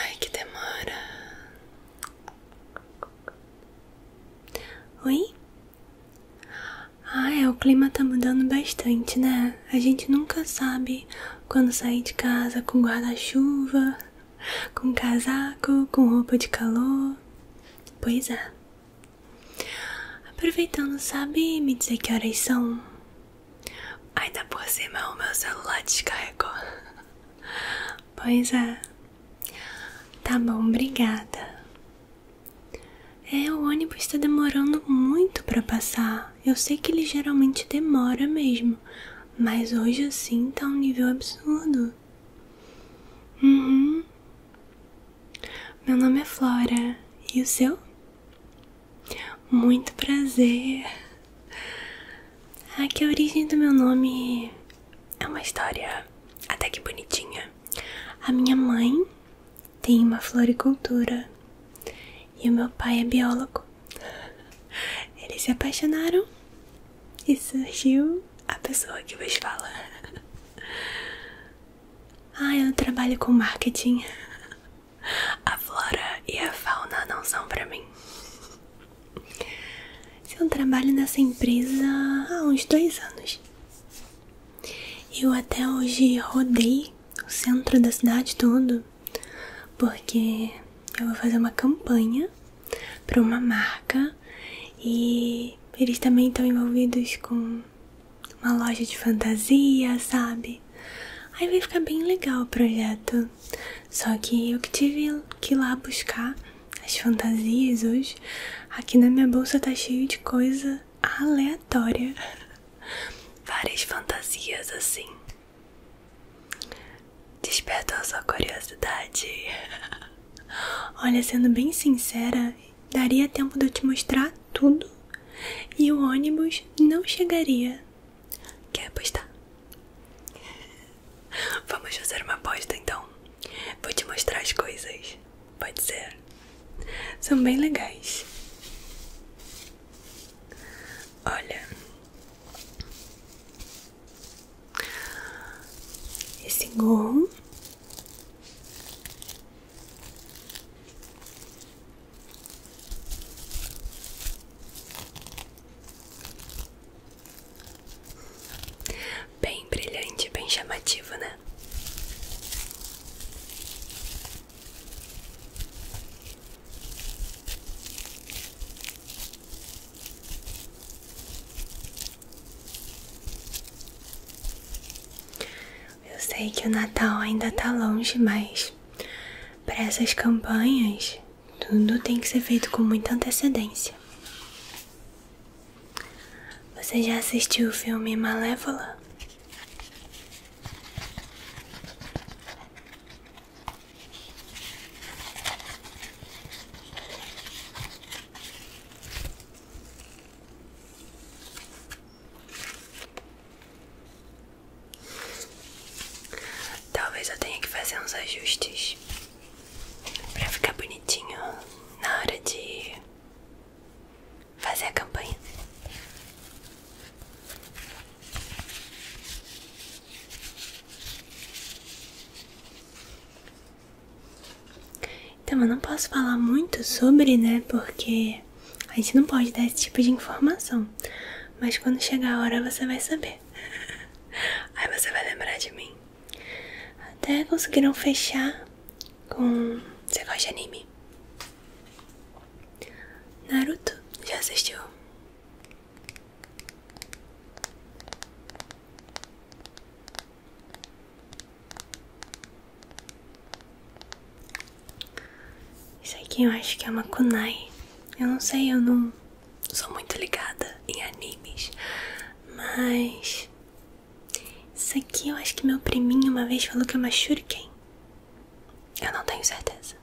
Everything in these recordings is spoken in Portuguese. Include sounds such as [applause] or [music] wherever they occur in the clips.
Ai, que demora. Oi? Ah, é, o clima tá mudando bastante, né? A gente nunca sabe quando sair de casa com guarda-chuva, com casaco, com roupa de calor. Pois é. Aproveitando, sabe me dizer que horas são? ai por cima o meu celular descarregou. [laughs] Pois é. Tá bom, obrigada. É, o ônibus tá demorando muito para passar. Eu sei que ele geralmente demora mesmo, mas hoje assim tá um nível absurdo. Uhum. Meu nome é Flora. E o seu? Muito prazer. Aqui a origem do meu nome é uma história até que bonitinha. A minha mãe tem uma floricultura e o meu pai é biólogo. Eles se apaixonaram e surgiu a pessoa que vos fala. Ah, eu trabalho com marketing. A flora e a fauna não são para mim. Eu trabalho nessa empresa há uns dois anos. Eu até hoje rodei o centro da cidade todo, porque eu vou fazer uma campanha para uma marca e eles também estão envolvidos com uma loja de fantasia, sabe? Aí vai ficar bem legal o projeto. Só que eu que tive que ir lá buscar as fantasias hoje. Aqui na minha bolsa tá cheio de coisa aleatória. [laughs] Várias fantasias assim. Despertou a sua curiosidade. [laughs] Olha, sendo bem sincera, daria tempo de eu te mostrar tudo e o ônibus não chegaria Quer apostar? Vamos fazer uma aposta então. Vou te mostrar as coisas. Pode ser? São bem legais. Olha. Esse gol. Bem brilhante, bem chamativo, né? Eu sei que o Natal ainda tá longe, mas para essas campanhas, tudo tem que ser feito com muita antecedência. Você já assistiu o filme Malévola? Talvez eu tenha que fazer uns ajustes para ficar bonitinho na hora de fazer a campanha. Então eu não posso falar muito sobre, né? Porque a gente não pode dar esse tipo de informação, mas quando chegar a hora você vai saber. [laughs] Aí você vai lembrar de mim. Até conseguiram fechar com. Você gosta de anime? Naruto? Já assistiu? Isso aqui eu acho que é uma kunai. Eu não sei, eu não sou muito ligada em animes, mas isso aqui eu acho que meu priminho uma vez falou que é uma shuriken. Eu não tenho certeza.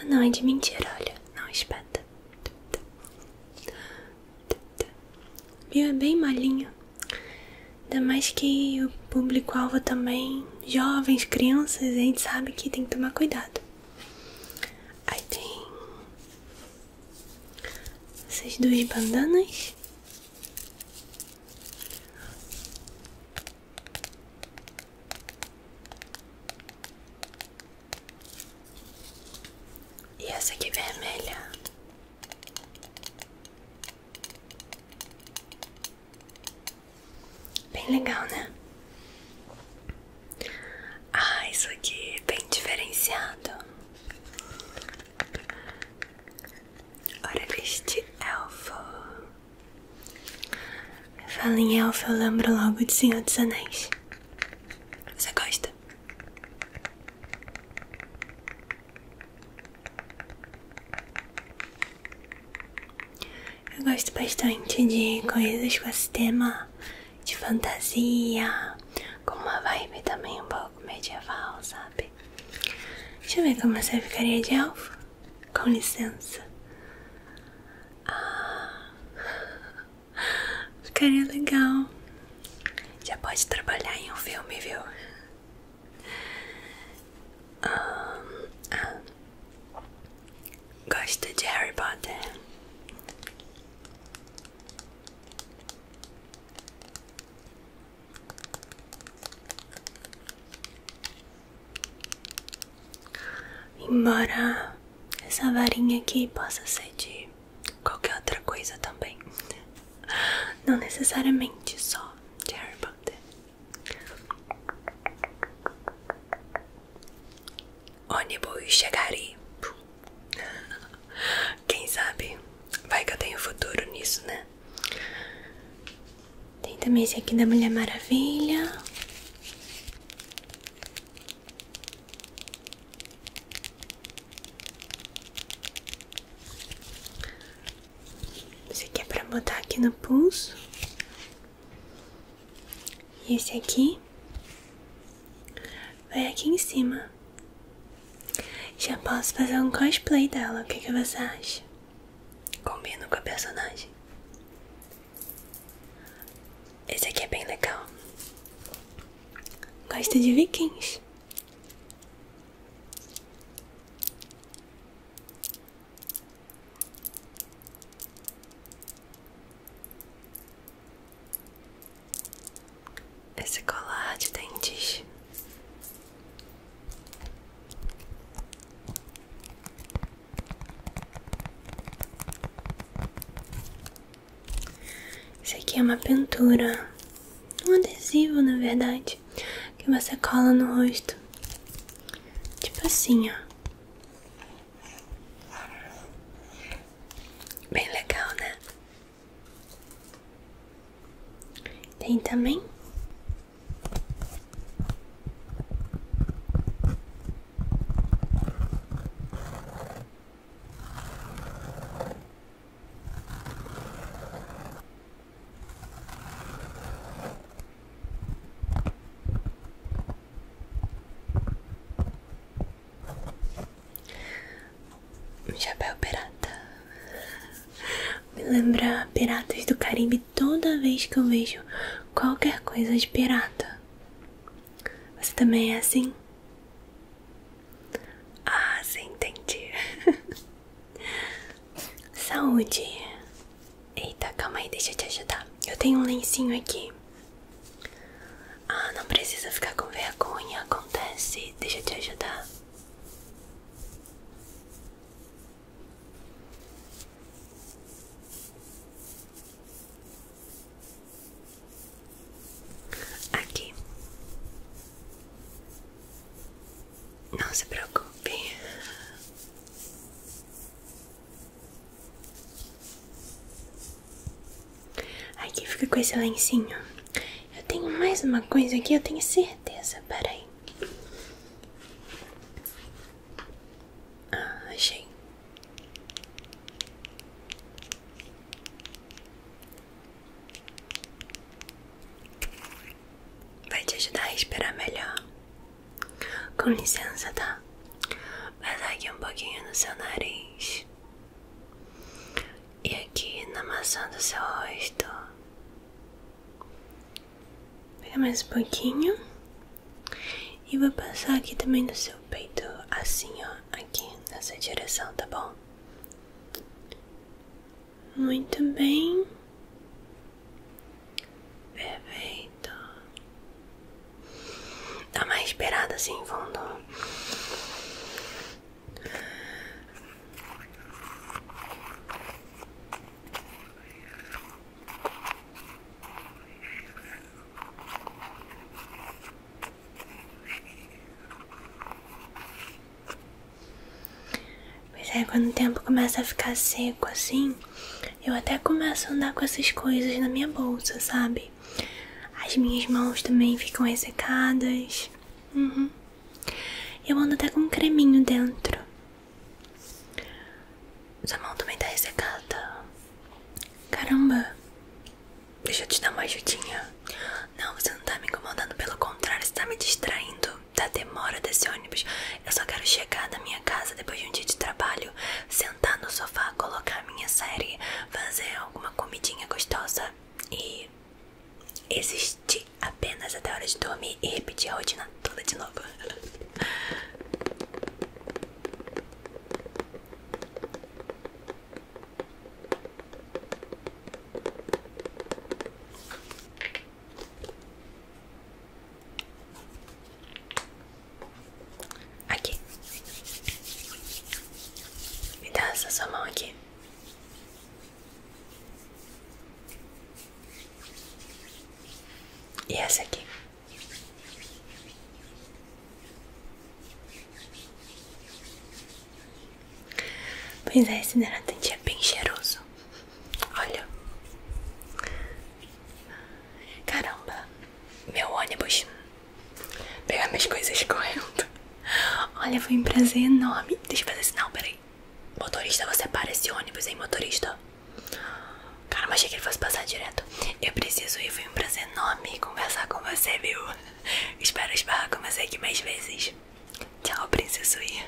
Ah, não, é de mentira, olha. Não espeta viu é bem malinho Ainda mais que o público-alvo também, jovens, crianças, a gente sabe que tem que tomar cuidado. Aí tem essas duas bandanas. E essa aqui vermelha. Bem legal, né? Ah, isso aqui é bem diferenciado. Olha este elfo. Fala em elfo, eu lembro logo de Senhor dos Anéis. Você gosta? Eu gosto bastante de coisas com esse tema de fantasia, com uma vibe também um pouco medieval, sabe? Deixa eu ver como você ficaria de elfo. Com licença. Ah. Ficaria legal. Já pode trabalhar em um filme, viu? Ah, ah. gosta de Harry Potter? Embora essa varinha aqui possa ser de qualquer outra coisa também. Não necessariamente só de Harry Potter. Ônibus chegarei. Quem sabe? Vai que eu tenho futuro nisso, né? Tem também esse aqui da Mulher Maravilha. Esse aqui é para botar aqui no pulso. E esse aqui vai aqui em cima. Já posso fazer um cosplay dela. O que, que você acha? Combina com a personagem. Esse aqui é bem legal. Gosto de vikings. Esse colar de dentes. Isso aqui é uma pintura, um adesivo na verdade, que você cola no rosto, tipo assim, ó. Bem legal, né? Tem também um chapéu pirata. Me lembra piratas do Caribe toda vez que eu vejo qualquer coisa de pirata. Você também é assim? Ah, sim, entendi. [laughs] Saúde. Eita, calma aí, deixa eu te ajudar. Eu tenho um lencinho aqui. Ah, não precisa ficar com vergonha, acontece. Deixa eu te ajudar. Aqui. Não se preocupe. Aqui fica com esse lencinho. Eu tenho mais uma coisa aqui, eu tenho certeza. Peraí. Ah, achei. Vai te ajudar a respirar melhor. Com licença, tá? Vai aqui um pouquinho no seu nariz. E aqui na maçã do seu rosto. Pega mais um pouquinho. E vou passar aqui também no seu peito, assim ó, aqui nessa direção, tá bom? Muito bem. Perfeito. Dá mais esperada assim, fundo mas é, quando o tempo começa a ficar seco assim, eu até começo a andar com essas coisas na minha bolsa, sabe? As minhas mãos também ficam ressecadas. Uhum. Eu ando até com um creminho dentro. Sua mão também tá ressecada. Caramba, deixa eu te dar uma ajudinha. Não, você não tá me incomodando, pelo contrário, você tá me distraindo da demora desse ônibus. Eu só quero chegar da minha casa depois de um dia de trabalho, sentar no sofá, colocar minha série, fazer alguma comidinha gostosa e existir apenas até a hora de dormir e repetir a rotina toda de novo. [laughs] Aqui, me dá essa sua mão aqui. E essa aqui. Pois é, esse hidratante é bem cheiroso. Olha. Caramba, meu ônibus. Pegar minhas coisas correndo. Olha, foi um prazer enorme. Deixa eu fazer sinal, peraí. Motorista, você para esse ônibus, hein, motorista? Caramba, achei que ele fosse passar direto. Eu preciso ir, foi um prazer enorme conversar com você, viu? [laughs] Espero esbarrar com você aqui mais vezes. Tchau, princesa Sui.